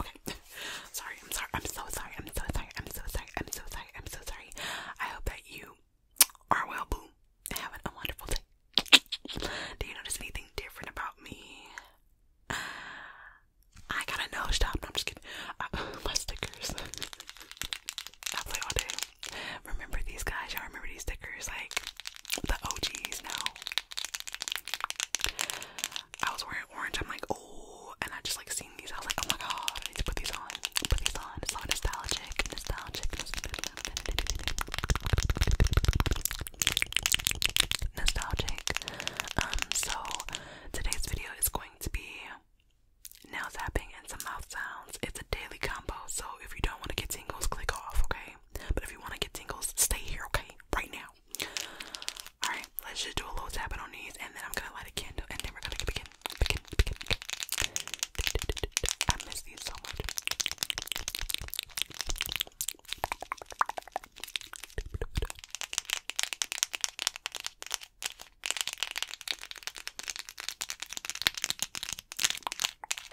Okay. sorry, I'm sorry. I'm so sorry. I'm so sorry. I'm so sorry. I'm so sorry. I'm so sorry. I hope that you are well, boo. having a wonderful day. Do you notice anything different about me? I got a nose job. I'm just kidding. Uh, my stickers. I play all day. Remember these guys? Y'all remember these stickers? Like the OGs? No. I was wearing orange. I'm like, oh, and I just like seeing these. I was like, oh my god, I need to put these on. Put these on. It's nostalgic, nostalgic, nostalgic. Um, so today's video is going to be nail tapping and some mouth sounds. It's a daily combo, so if you don't want to get tingles, click off. Okay. But if you want to get tingles, stay here, okay? Right now. Alright, let's just do a little tapping on these and then I'm gonna light a candle and then we're gonna begin. begin, begin. I miss these so much.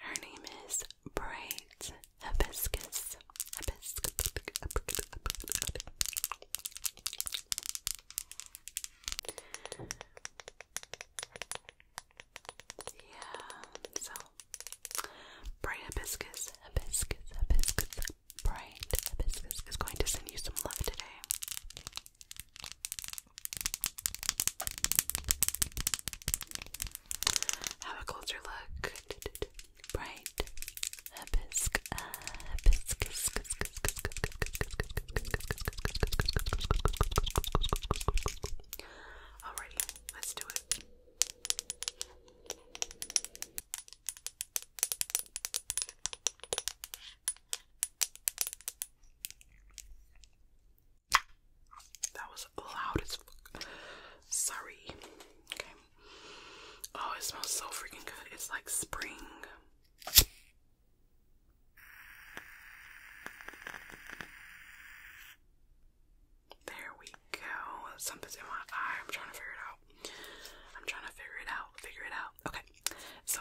her name is Bright Hibiscus. Hibiscus. Yeah, so Bright Hibiscus, Hibiscus, Hibiscus, Bright Hibiscus is going to send you some love today. Have a closer look. Bright Alrighty, let's do it. That was loud as fuck. Sorry. Okay. Oh, it smells so freaking good. It's like spring. There we go. Something's in my eye. I'm trying to figure it out. I'm trying to figure it out. Figure it out. Okay. So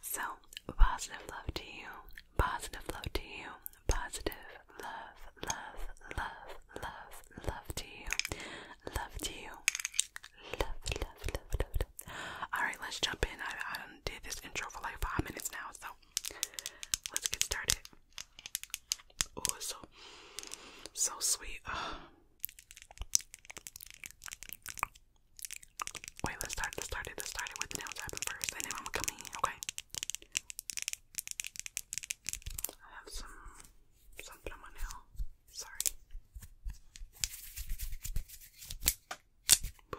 so, positive love to you, positive love to you, positive love, love, love, love, love to you, love to you, love, love, love, love. Alright, let's jump in. I, did this intro for like five minutes now, so let's get started. Oh, so, so sweet. Wait, let's start. Let's start it. Let's start it with the nails happen first, then I'm coming. Okay. I have some something on my nail. Sorry. Boo.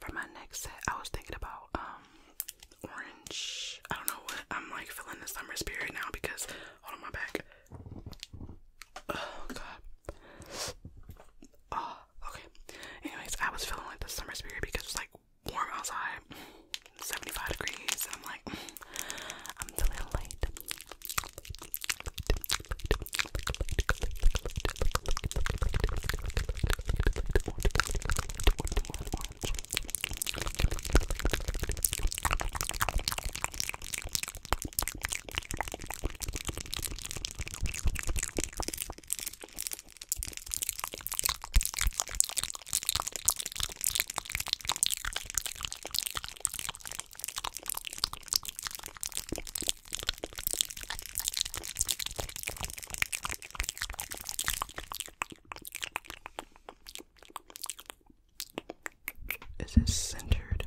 For my next set, I was thinking about um orange. I don't know what I'm like feeling the summer spirit now because hold on my back. Oh god. Oh, okay. Anyways, I was feeling like the summer spirit because it's like warm outside, 75 degrees, I'm like, I'm feeling late. Is this centered?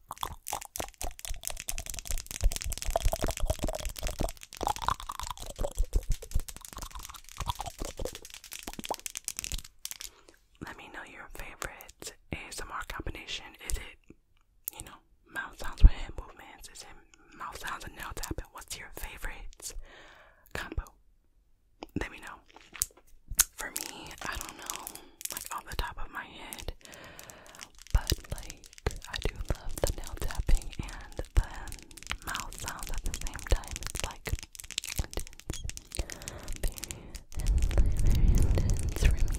Let me know your favorite ASMR combination. Is it, you know, mouth sounds with hand movements? Is it mouth sounds and nail tapping? What's your favorite combo? Let me know. For me, I don't know like off the top of my head. But like I do love the nail tapping and the mouth sounds at the same time. It's like Very intense for me.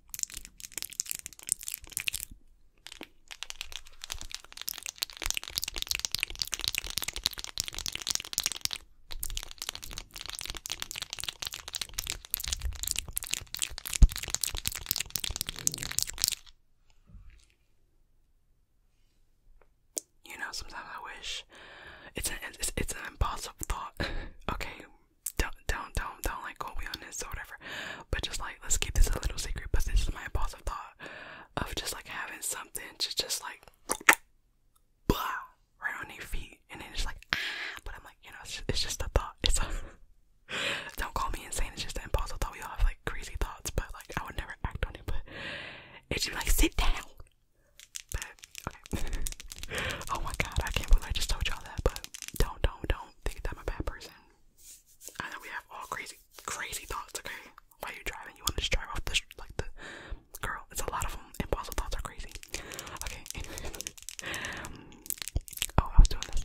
You know, sometimes I wish it's an it's, it's an impossible thought. okay, don't don't don't don't like quote me on this or whatever. But just like let's keep this a little secret. But this is my impulse of thought of just like having something to just like blah right on their feet and then it's like ah but I'm like, you know, it's just, a thought. It's don't call me insane, it's just an impulsive thought. We all have like crazy thoughts, but like I would never act on it, but it's just like sit down. oh my god, I can't believe I just told y'all that, but don't don't don't think that I'm a bad person. I know we have all crazy, crazy thoughts. Okay, while you're driving, you want to just drive off the like the girl. It's a lot of them. Impossible thoughts are crazy. Okay. oh, I was doing this.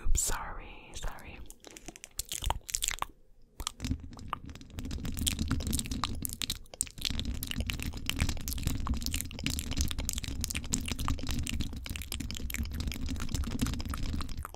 Oops, sorry, sorry.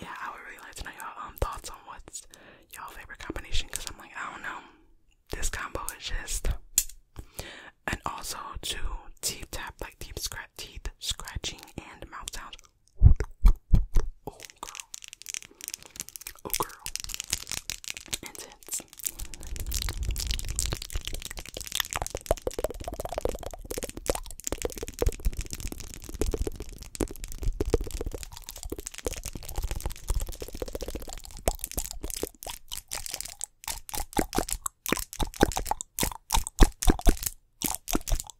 Yeah, I would really like to know y'all um thoughts on what's y'all favorite combination because I'm like, I don't know. This combo is just and also to teeth tap like deep scratch teeth scratching and mouth sounds Oh girl. Oh girl. Intense.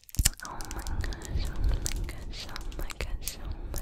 Oh my gosh, oh my gosh, oh my gosh, oh my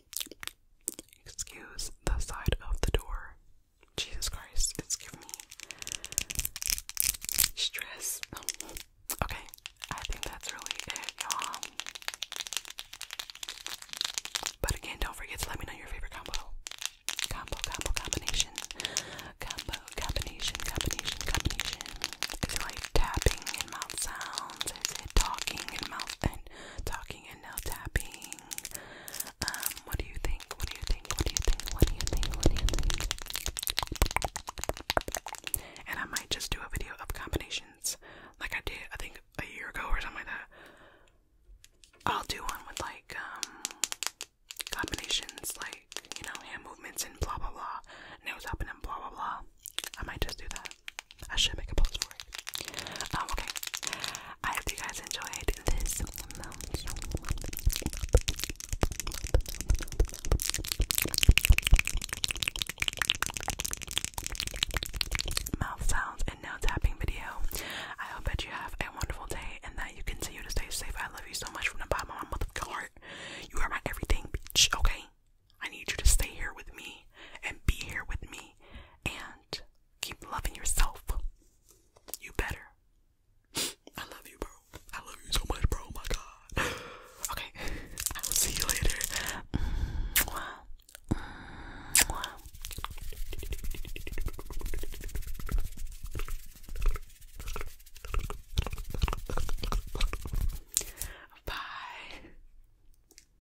Excuse the side of the door. Jesus Christ, it's giving me stress. Okay, I think that's really it, y'all. But again, don't forget to let me know your favorite combo. Combo, combo, combination. Combo, combination, combination, combination. Is it like tapping and mouth sounds? talking and mouth and talking and now tapping? Um, what do you think? What do you think? What do you think? What do you think? What do you think? And I might just do a video of combinations like I did, I think, a year ago or something like that. I'll do one with like, um, combinations like, you know, hand movements and blah blah blah, nose up and blah blah blah. I might just do that. I should make a post for it. Um, okay. I hope you guys enjoyed this. Mouth sounds and nail tapping video. I hope that you have a wonderful day and that you continue to stay safe. I love you so much from the bottom of my motherfucking heart. You are my everything, bitch. Okay, I need you to stay here with me and be here with me and Keep loving yourself. You better. I love you, bro. I love you so much, bro. Oh my god. Okay. I will see you later. Bye.